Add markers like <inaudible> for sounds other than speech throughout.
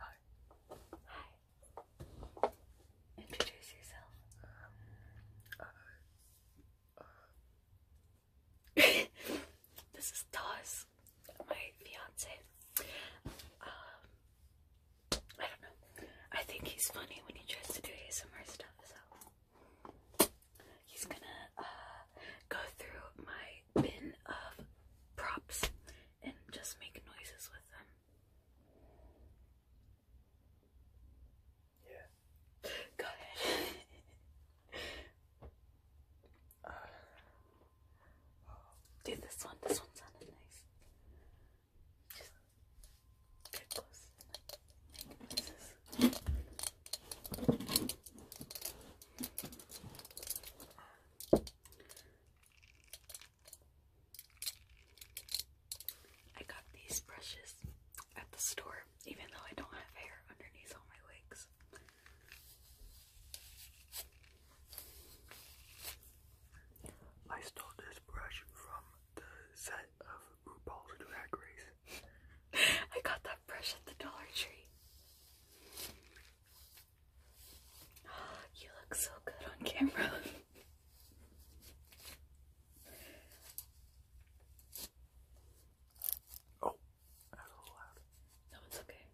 Hi. Introduce yourself. Uh, uh, this is Taz, my fiance. Um, I don't know. I think he's funny when he tries to do ASMR stuff, so He's gonna uh, go through my bin of props and just make noises with them. Yeah. Go ahead. uh, <laughs> this one, this one sounded nice. Just get I got these brushes at the store, even though I don't have hair underneath all my wigs. I stole this brush from the set of RuPaul's Drag Race. <laughs> I got that brush at the Dollar Tree. <gasps> you look so good on camera. <laughs> oh, that was No, it's okay.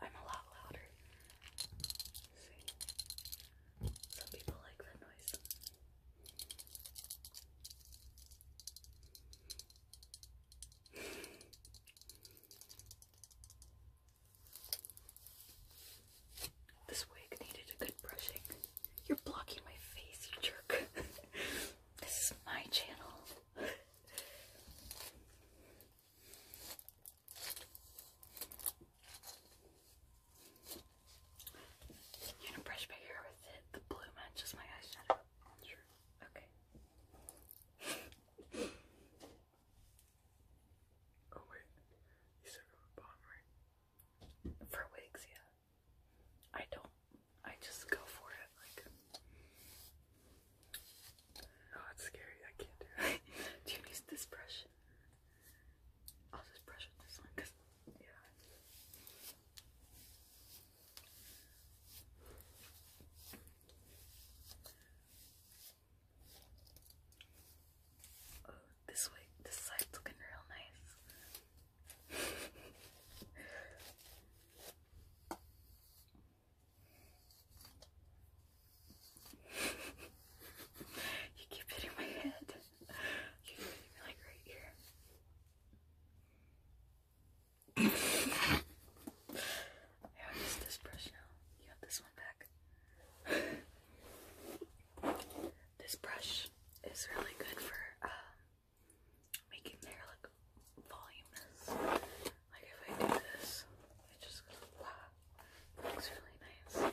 I'm a lot louder. Some people like that noise. This wig needed a good brushing. You're blocking my face, you jerk. <laughs> this is my channel. I'm brush my hair with it. The blue matches my eyeshadow. Sure. Okay. oh wait, you still got a bond, right? For wigs, yeah. I don't. I just go for it. Like, oh, it's scary. I can't do it. <laughs> do you use this brush? I'll just brush with this one because, yeah. Oh, this way, this side's looking real nice. <laughs> you keep hitting my head like right here. I already used this brush now. You have this one back. this brush is really good for um, making hair look voluminous. Like if I do this, it just looks really nice.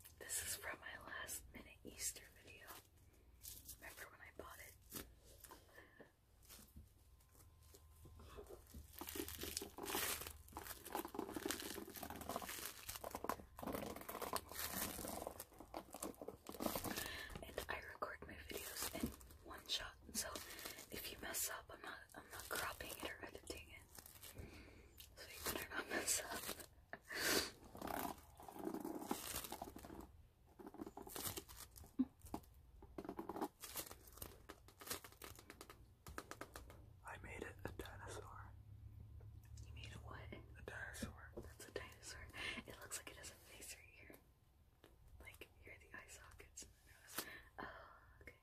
This is from my last minute Easter video. Remember when I bought it? And I record my videos in one shot, so if you mess up, I'm not I'm not cropping it or editing it so you better not mess up. I made it a dinosaur. You made a what? A dinosaur. That's a dinosaur. It looks like it has a face right here. Like, here the eye sockets and the nose. okay.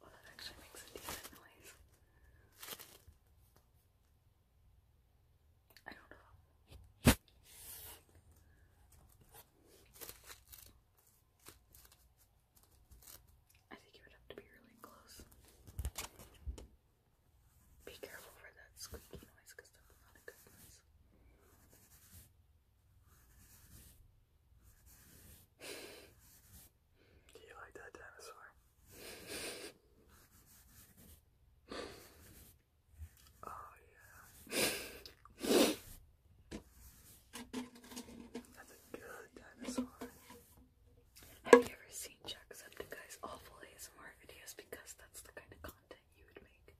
Well, I don't know. I think you would have to be really close. Be careful for that squeaky noise because that's not a good noise. Do you like that dinosaur? <laughs> Oh yeah. That's a good dinosaur. Have you ever seen Jacksepticeye's awful ASMR videos? Because that's the kind of content you would make.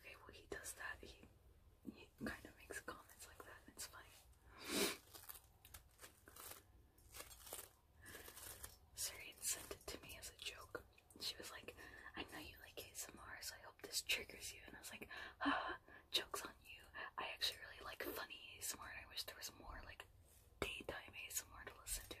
Okay, well he does that. He he kind of makes comments like that, and it's funny. Sirian sent it to me as a joke. She was like, I know you like ASMR, so I hope this triggers you. And I was like, ah, joke's on you. I actually really like funny ASMR, I wish there was more like daytime ASMR to listen to.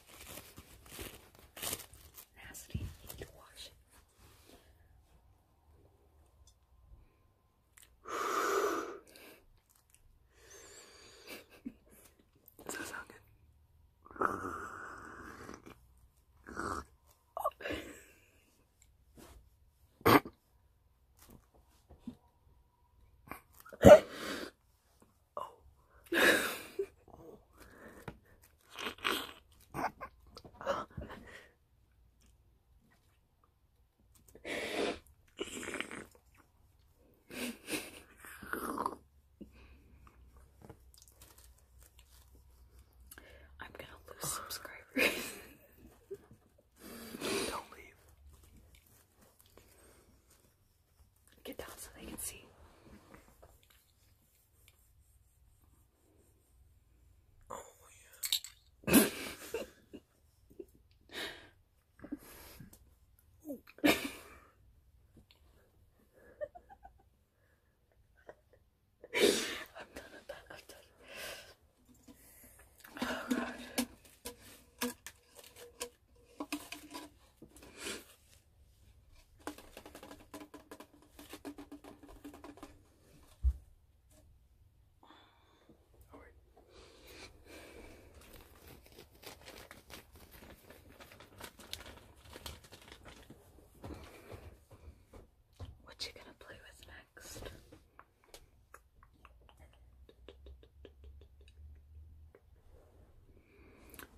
Nasty. need to wash it. Does that sound good? Oh. oh. I'm gonna lose subscribers. Don't leave. Get down so they can see. Oh yeah. Oh god. What you gonna play with next?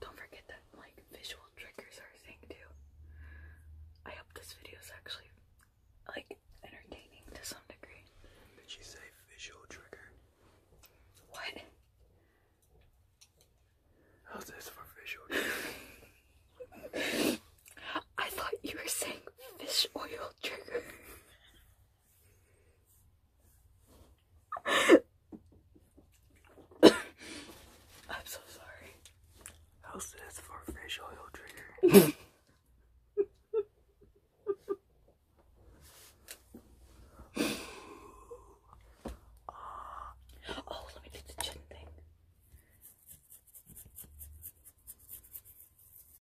Don't forget that like visual triggers are a thing too. I hope this video is actually like entertaining to some degree. Did she say visual trigger? What? How's this for visual <laughs> I thought you were saying fish oil trigger. <laughs> I'm so sorry. How stands for fish oil trigger? <laughs> oh, let me do the chin thing.